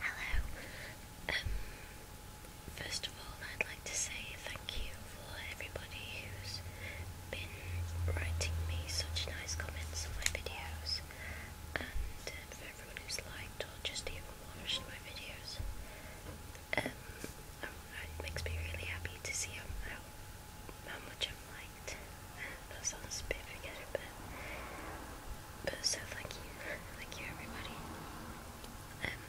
Hello. Um, first of all, I'd like to say thank you for everybody who's been writing me such nice comments on my videos, and uh, for everyone who's liked or just even watched my videos. Um, um it makes me really happy to see how, how much I'm liked that sounds a bit but but so thank you, thank you everybody. Um,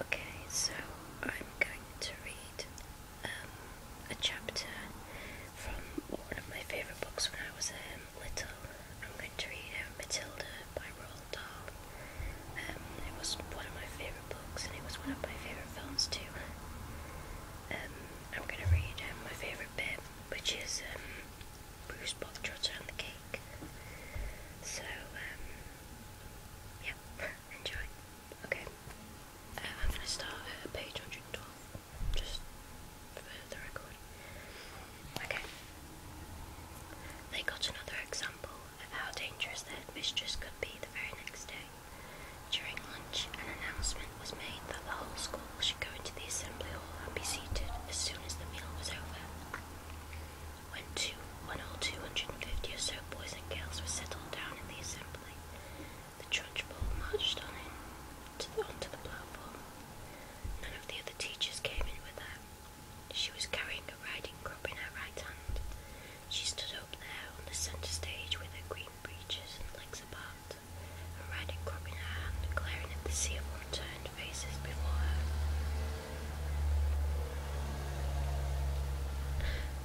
okay, so I'm going to read um, a chapter from one of my favourite books when I was um little. I'm going to read um, Matilda by Roald Dahl. it was one of my favourite books, and it was one of my favourite films too. I'm going to read my favourite bit, which is um, Bruce bought the trotter and the cake. So, um, yeah, enjoy. Okay, uh, I'm going to start at page 112, just for the record. Okay. They got another example of how dangerous their mistress could be the very next day. During lunch, an announcement was made that the whole school she went into the assembly hall and be seated as soon as the meal was over. When, two, when all 250 or so boys and girls were settled down in the assembly, the trudge ball marched on in to onto the platform. None of the other teachers came in with her. She was carrying a riding crop in her right hand. She stood up there on the centre stage with her green breeches and legs apart a riding her hand, glaring at the sea of unturned faces before her.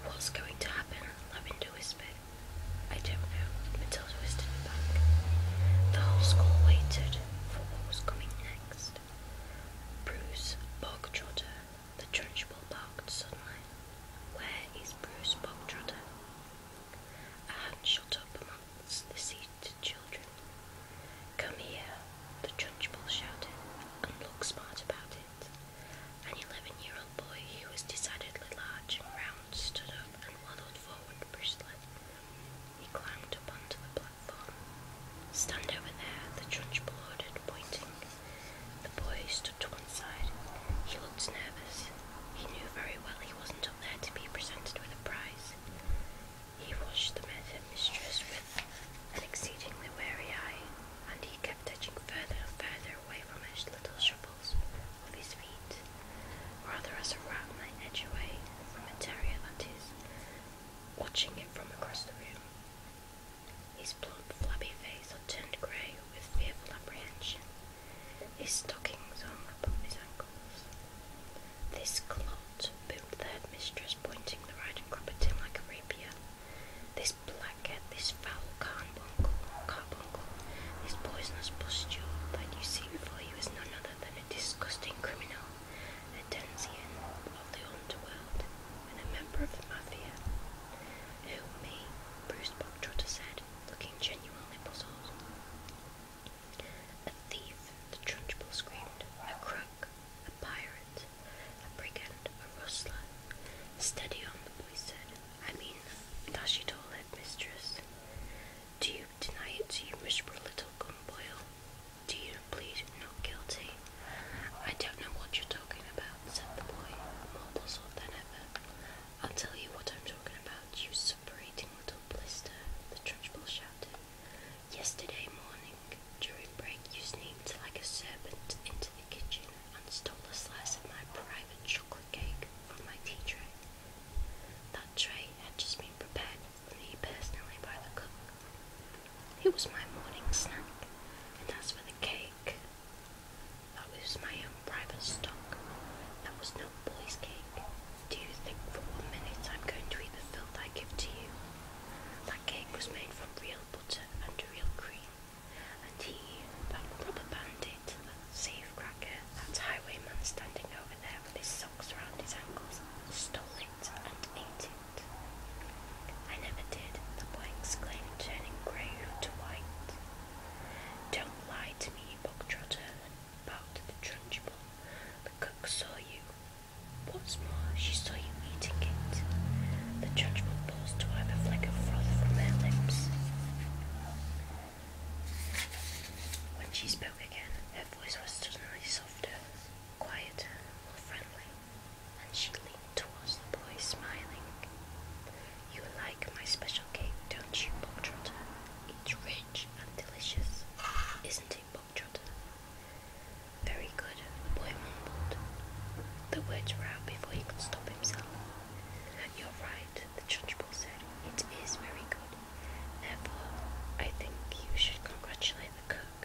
What's going to happen? Lavender whispered. I don't know, Matilda whispered back. The whole school waited for what was coming next. Bruce Bogtrotter, the Trunchbull barked suddenly. Where is Bruce Bogtrotter? and shot up amongst the seated children. Come here, the trunchbull shouted, and looked smart about it. An eleven year old boy who was decidedly large and round stood up and waddled forward briskly. He climbed up onto the platform. Stand over there, the trunchbull ordered, pointing. The boy stood to one side. He looked nervous. He knew very well he wasn't until to be presented with a prize. He watched the mistress with an exceedingly wary eye, and he kept edging further and further away from his little shovels with his feet, rather as a rat might edge away from a terrier that is, watching it from across the room. His plump, flabby face had turned grey with fearful apprehension his stockings hung upon his ankles. This clot, boomed the mistress, pointing the riding crop at him like a rapier. This blackhead, this foul carbuncle, carbuncle, this poisonous bustle that you see before you is none other than a disgusting criminal, a denizens of the underworld, and a member of the mafia. Who, me? Bruce Bocktrotter said, looking genuinely puzzled. A thief, the Trunchbull screamed, a crook, a pirate, a brigand, a rustler. Steady on, the boy said. I mean, dash it all, head mistress. Do you deny it to you, miserable little gumboil? Do you plead not guilty? I don't know what you're talking about, said the boy, more puzzled than ever. I'll tell you what I'm talking about. You're separating little blister, the trunchbull shouted. Yesterday morning, during break, you sneaked like a serpent into the kitchen and stole a slice of my private chocolate cake from my tea tray. That tray had just been prepared for me personally by the cook. It was my morning snack, and as for the cake, that was my own private stock. That was no boy's cake. Do you think for one minute I'm going to eat the filth I give to you? That cake was made from real butter and real cream. And he, that robber bandit, that safe cracker, that highwayman standing over there with his socks around his ankles, stole it and ate it. I never did, the boy exclaimed, turning grey to white. Don't lie to me, Bog Trotter, about the Trunchbull. The cook saw you. What's more, she saw you eating it. The Trunchbull paused to wipe a fleck of froth from her lips. When she spoke again, her voice was suddenly softer, quieter, more friendly, and she leaned towards the boy, smiling. You like my special cake, don't you, Bob Trotter? It's rich and delicious, isn't it, Bob Trotter? Very good, the boy mumbled. The words were out before he could stop himself. You're right, the Trunchbull said. It is very good. Therefore, I think you should congratulate the cook.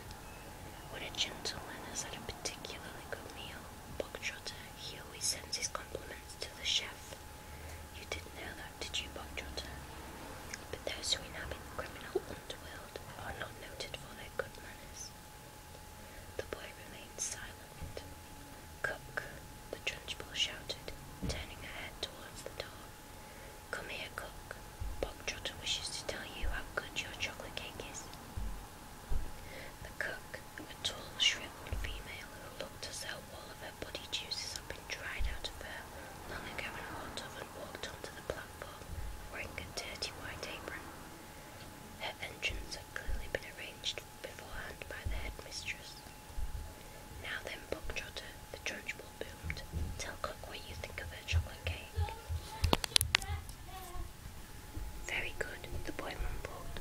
What a gentleman has had a particularly good meal, Bog Trotter, he always sends his compliments to the chef. You didn't know that, did you, Bogjotter? But those who inhabit the criminal underworld are not noted for their good manners. The boy remained silent. Cook, the trunchbull shouted, turning her head towards the door. Come here, Cook. Bogjotter wishes to tell you how good your chocolate cake is. The cook, a tall, shriveled female looked as all of her body juices had been dried out of her long ago in a hot oven, walked onto the platform wearing a dirty white apron. Her entrance had clearly been arranged beforehand by the headmistress. Now then, Buck Trotter, the trunchbull boomed. Tell Cook what you think of her chocolate cake. Very good, the boy mumbled.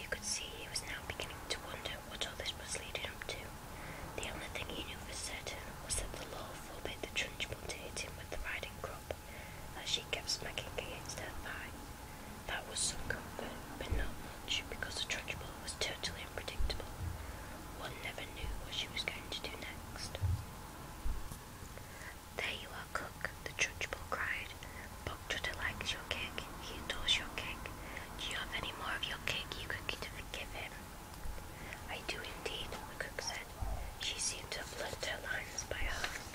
You could see he was now beginning to wonder what all this was leading up to. The only thing he knew for certain was that the law forbade the trunchbull to hit him with the riding crop, as she kept smacking against her thigh. That was some comfort, but not much, because the trunchbull was totally unpredictable. One never knew what she was going to do next. There you are, cook, the trunchbull cried, Bokjuda likes your cake. He adores your cake. Do you have any more of your cake you could give him? I do indeed, the cook said. She seemed to have learnt her lines by heart.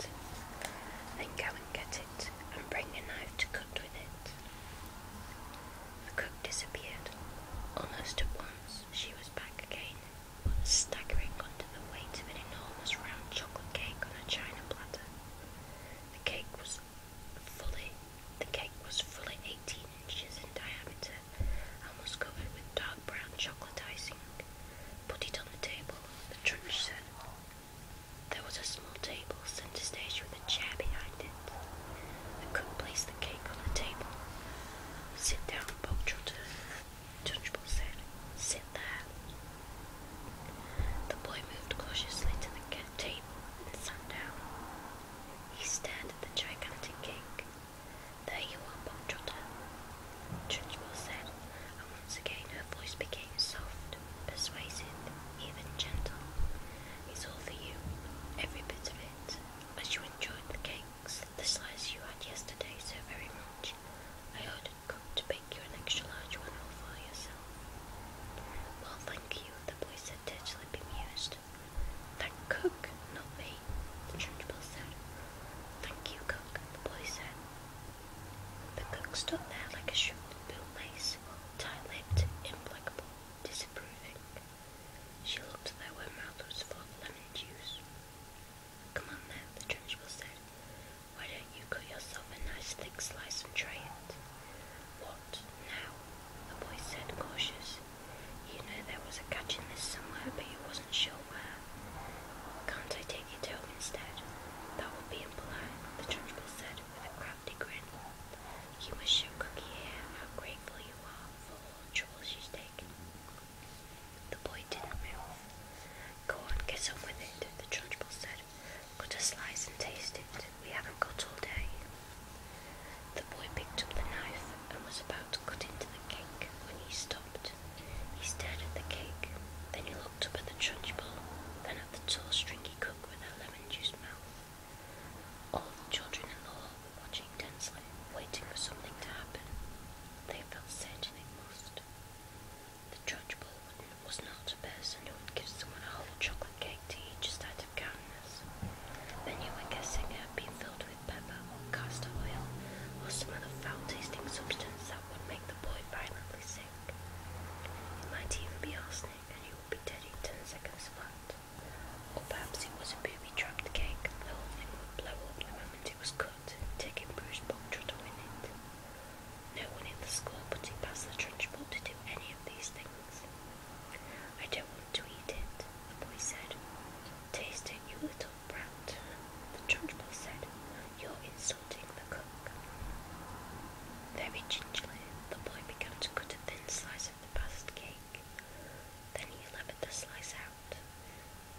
Then go and get it, and bring a knife to cut with it. The cook disappeared. Almost at once, she was back again, staggering under the weight of an enormous round chocolate cake on a china platter. The cake was fully, the cake was fully 18 inches in diameter almost covered with dark brown chocolate icing. Put it on the table, the trunch said. There was a small table centre stage with a chair behind it. I couldn't place the cake on the table. Sit down, Bob Trotter, Tunchbull said. Sit there. The boy moved cautiously to the table and sat down. He stared at the gigantic cake. There you are, Bobtrotter, Trunchbull said, and once again her voice became soft, persuasive, even gentle. It's all for you, every bit of it, as you enjoyed the cakes, the slice you had yesterday so very much. I ordered cooked pick you an extra large one all for yourself. Well, thank you, the boy said, totally bemused. Thank Cook, not me, the church said. Thank you, Cook, the boy said. The cook stood there like a shriveled bootlace, tight-lipped, implacable, disapproving. She looked there where mouth was full of lemon juice. Come on now, the church said. Why don't you cut yourself a nice thick slice and try it? What, now? The boy said, cautious. You know there was a catch in this somewhere, but you wasn't sure where. Can't I take it home instead? That would be impolite, the trunchbull said with a crafty grin. You must show Cookie here how grateful you are for all the trouble she's taken. The boy didn't move. Go on, get on with it, the trunchbull said said. Cut a slice and taste it. We haven't got all day. The boy picked up the knife and was about to cut into the cake when he stopped. He stared at the cake, then he looked up at the trudge bowl, then at the tall stringy cook with her lemon juice mouth. All the children in the hall were watching tensely, waiting for something to happen. They felt certain it must. The judge Baldwin was not a person who would give someone a whole chocolate cake to eat just out of kindness. Then you were guessing it had been filled with pepper or castor oil or some other foul-tasting substance that would make the boy violently sick. It might even be arsenic and he would be dead in ten seconds flat. Or perhaps it was a booby-trapped cake the whole thing would blow up the moment it was cut, taking Bruce Bogtrot to win it. No one in the school it past the trench to do any of these things. I don't want to eat it, the boy said. Taste it, you little brat. The trench said, You're insulting the cook. Very gingerly, the boy began to cut a thin slice of the pasted cake. Then he levered the slice out.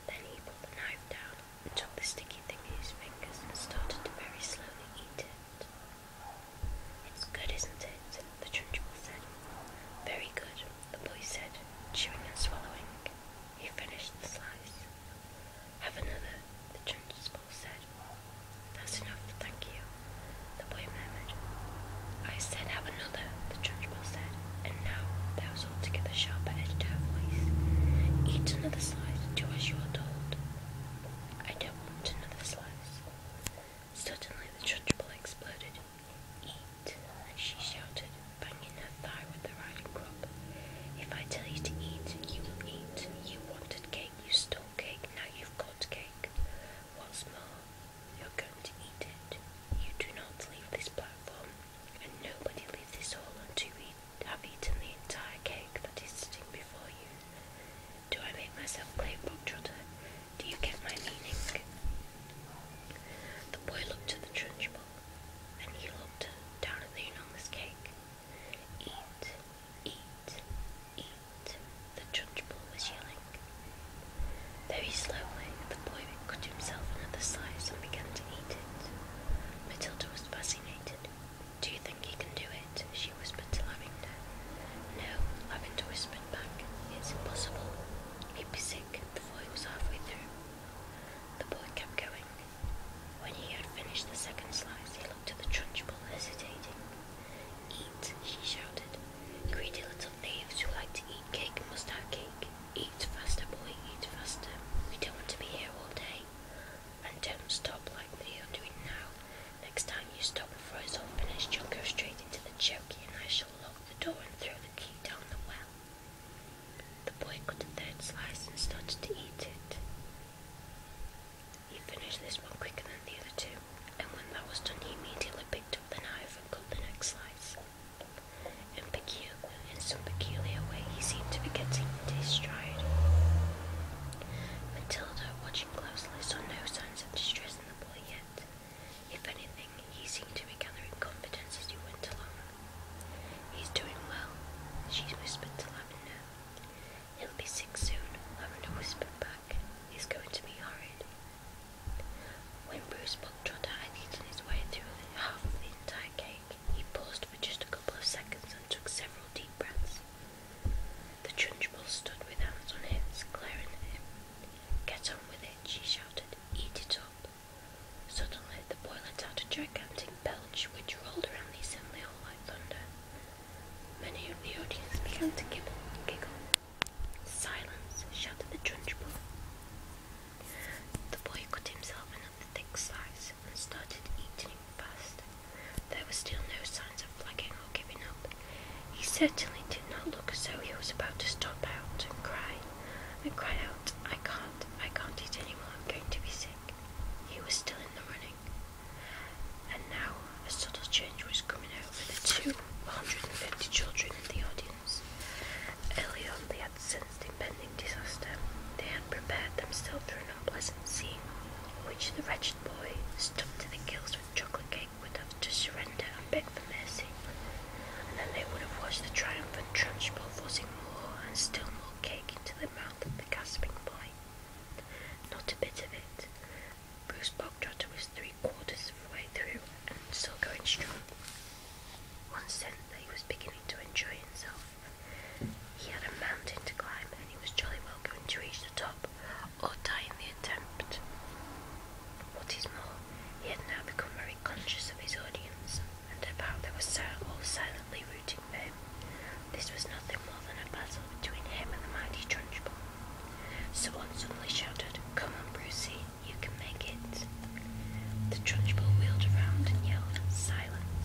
Then he put the knife down and took the sticky thing in his fingers and started to very slowly eat it. It's good, isn't it? The churchman said. Very good, the boy said, chewing and swallowing. He finished the slice. Have another, the churchman said. That's enough, thank you, the boy murmured. I said have another, the churchman said, and now there was altogether sharper edge to her voice. Eat another slice, do as you are told. I dumped another slice. Suddenly the judge ball exploded. Eat, she shouted, banging her thigh with the riding crop. If I tell you to eat, you will eat. You wanted cake, you stole cake, now you've got cake. What's more, you're going to eat it. You do not leave this platform, and nobody leaves this hall until you eat to have eaten the entire cake that is sitting before you? Do I make myself clear, Bogtrotter? Do you get my meaning? The boy looked at the trench trunchbull, and he looked down at the enormous cake. Eat, eat, eat, the trench trunchbull was yelling. Very slowly, the boy cut himself another slice and began to eat it. Matilda was fascinated. Do you think he can do it? She whispered to Lavender. No, Lavender whispered back. It's impossible. He'd be sick before he was halfway through. The boy kept going. When he had finished the second slice, he looked at the Trunchbull, hesitating. Eat, she shouted. Greedy little knaves who like to eat cake must have cake. Eat faster, boy, eat faster. We don't want to be here all day. And don't stop like you're doing now. Next time you stop before it's finished, you'll go straight into the choky and I shall lock the door and throw the key down the well. The boy cut a third slice and started to eat it. He finished this one quicker than the other two, and when that was done, he immediately picked up the knife and cut the next slice. In, peculiar, in some peculiar way, he seemed to be getting into his stride. Matilda, watching closely, saw no signs of distress in the boy yet. If anything, he seemed to be gathering confidence as he went along. He's doing well, she whispered to Lavender. He'll be sick soon, Lavender whispered back. He's going to be horrid. When Bruce Buck Bogtrot had eaten his way through half of the entire cake, he paused for just a couple of seconds and took several deep breaths. The Trunchbull stood with hands on hips, glaring at him. Get on with it, she shouted. Eat it up. Suddenly, the boy let out a gigantic belch which rolled around the assembly hall like thunder. Many of the audience began to gibble and giggle. Silence, shouted the Trunchbull. The boy cut himself another thick slice and started eating fast. There were still no signs of flagging or giving up. He certainly did not look as though he was about to stop out and cry, and cry out, I can't, I can't eat any more, I'm going to be sick. He was still in the running. And now a subtle change was coming over the two hundred and fifty children in the audience. Early on they had sensed impending disaster. They had prepared themselves for an unpleasant scene which the wretched boy, stuck to the gills with chocolate cake, would have to surrender and beg for mercy. And then they would have watched the triumphant trench transport forcing more and still more cake into the mouth of the gasping boy. Not a bit of it. Bruce Bogtrotter was three quarters of the way through and still going strong. One sensed that he was beginning to enjoy himself. He had a mountain to climb, and he was jolly well going to reach the top or die in the attempt. What is more, he had now become very conscious of his audience and about how they were all silently rooting for him. This was nothing more than a battle between him and the mighty Trunchbull. Someone suddenly shouted, Come on, Brucey, you can make it. The Trunchbull wheeled around and yelled, Silence.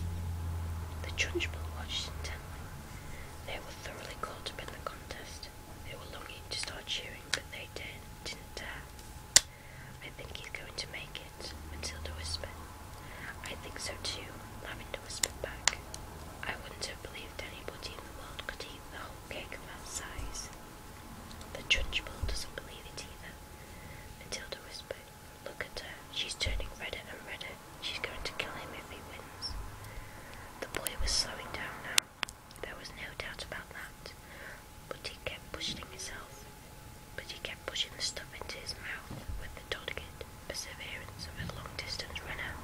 The Trunchbull watched intently. They were thoroughly caught up in the contest. They were longing to start cheering, but they did, not I think he's going to make it, Matilda whispered. I think so too, Lavender whispered back. I wouldn't have believed anybody in the world could eat the whole cake of that size. The Trunchbull doesn't believe it either, Matilda whispered. Look at her. She's turning redder and redder. She's going to kill him if he wins. The boy was slowing down now. There was no doubt about that. But he kept pushing himself. But he kept pushing the stuff into his mouth with the dogged perseverance of a long-distance runner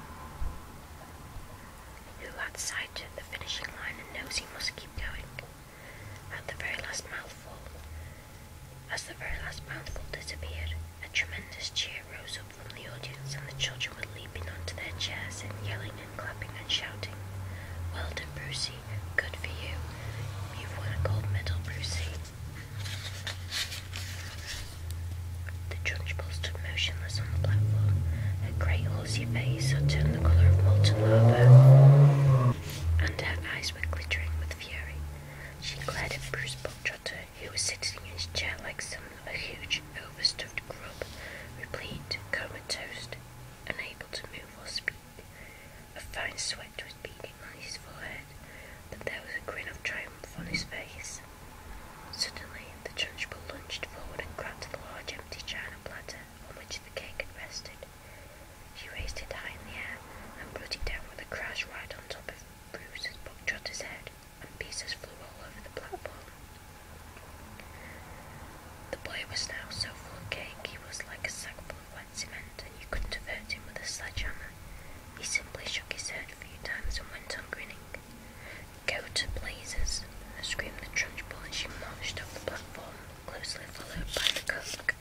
who had sighted the finishing line and knows he must keep going. At the very last mouthful, as the very last mouthful disappeared, a tremendous cheer rose up from the audience, and the children were leaping onto their chairs and yelling and clapping and shouting. Well done, Brucey. Good for you. You've won a gold medal, Brucey. The Trunchbull stood motionless on the platform. Her great horsey face had turned the colour of molten lava, and her eyes were glittering with fury. She glared at Bruce Bogtrotter, he was sitting in his chair like some a huge, overstuffed grub, replete, comatose, unable to move or speak. A fine sweat was beading on his forehead, but there was a grin of triumph on his face. Suddenly, the Trunchbull lunged forward and grabbed the large empty china platter on which the cake had rested. She raised it high in the air and brought it down with a crash right on top of Bruce's book Trotter's head, and pieces flew all over the platform. The boy was now so full of cake he was like a sack full of wet cement, and you couldn't have hurt him with a sledgehammer. He simply shook his head a few times and went on grinning. Go to blazes! screamed the trunchbull, and she marched off the platform, closely followed by the cook.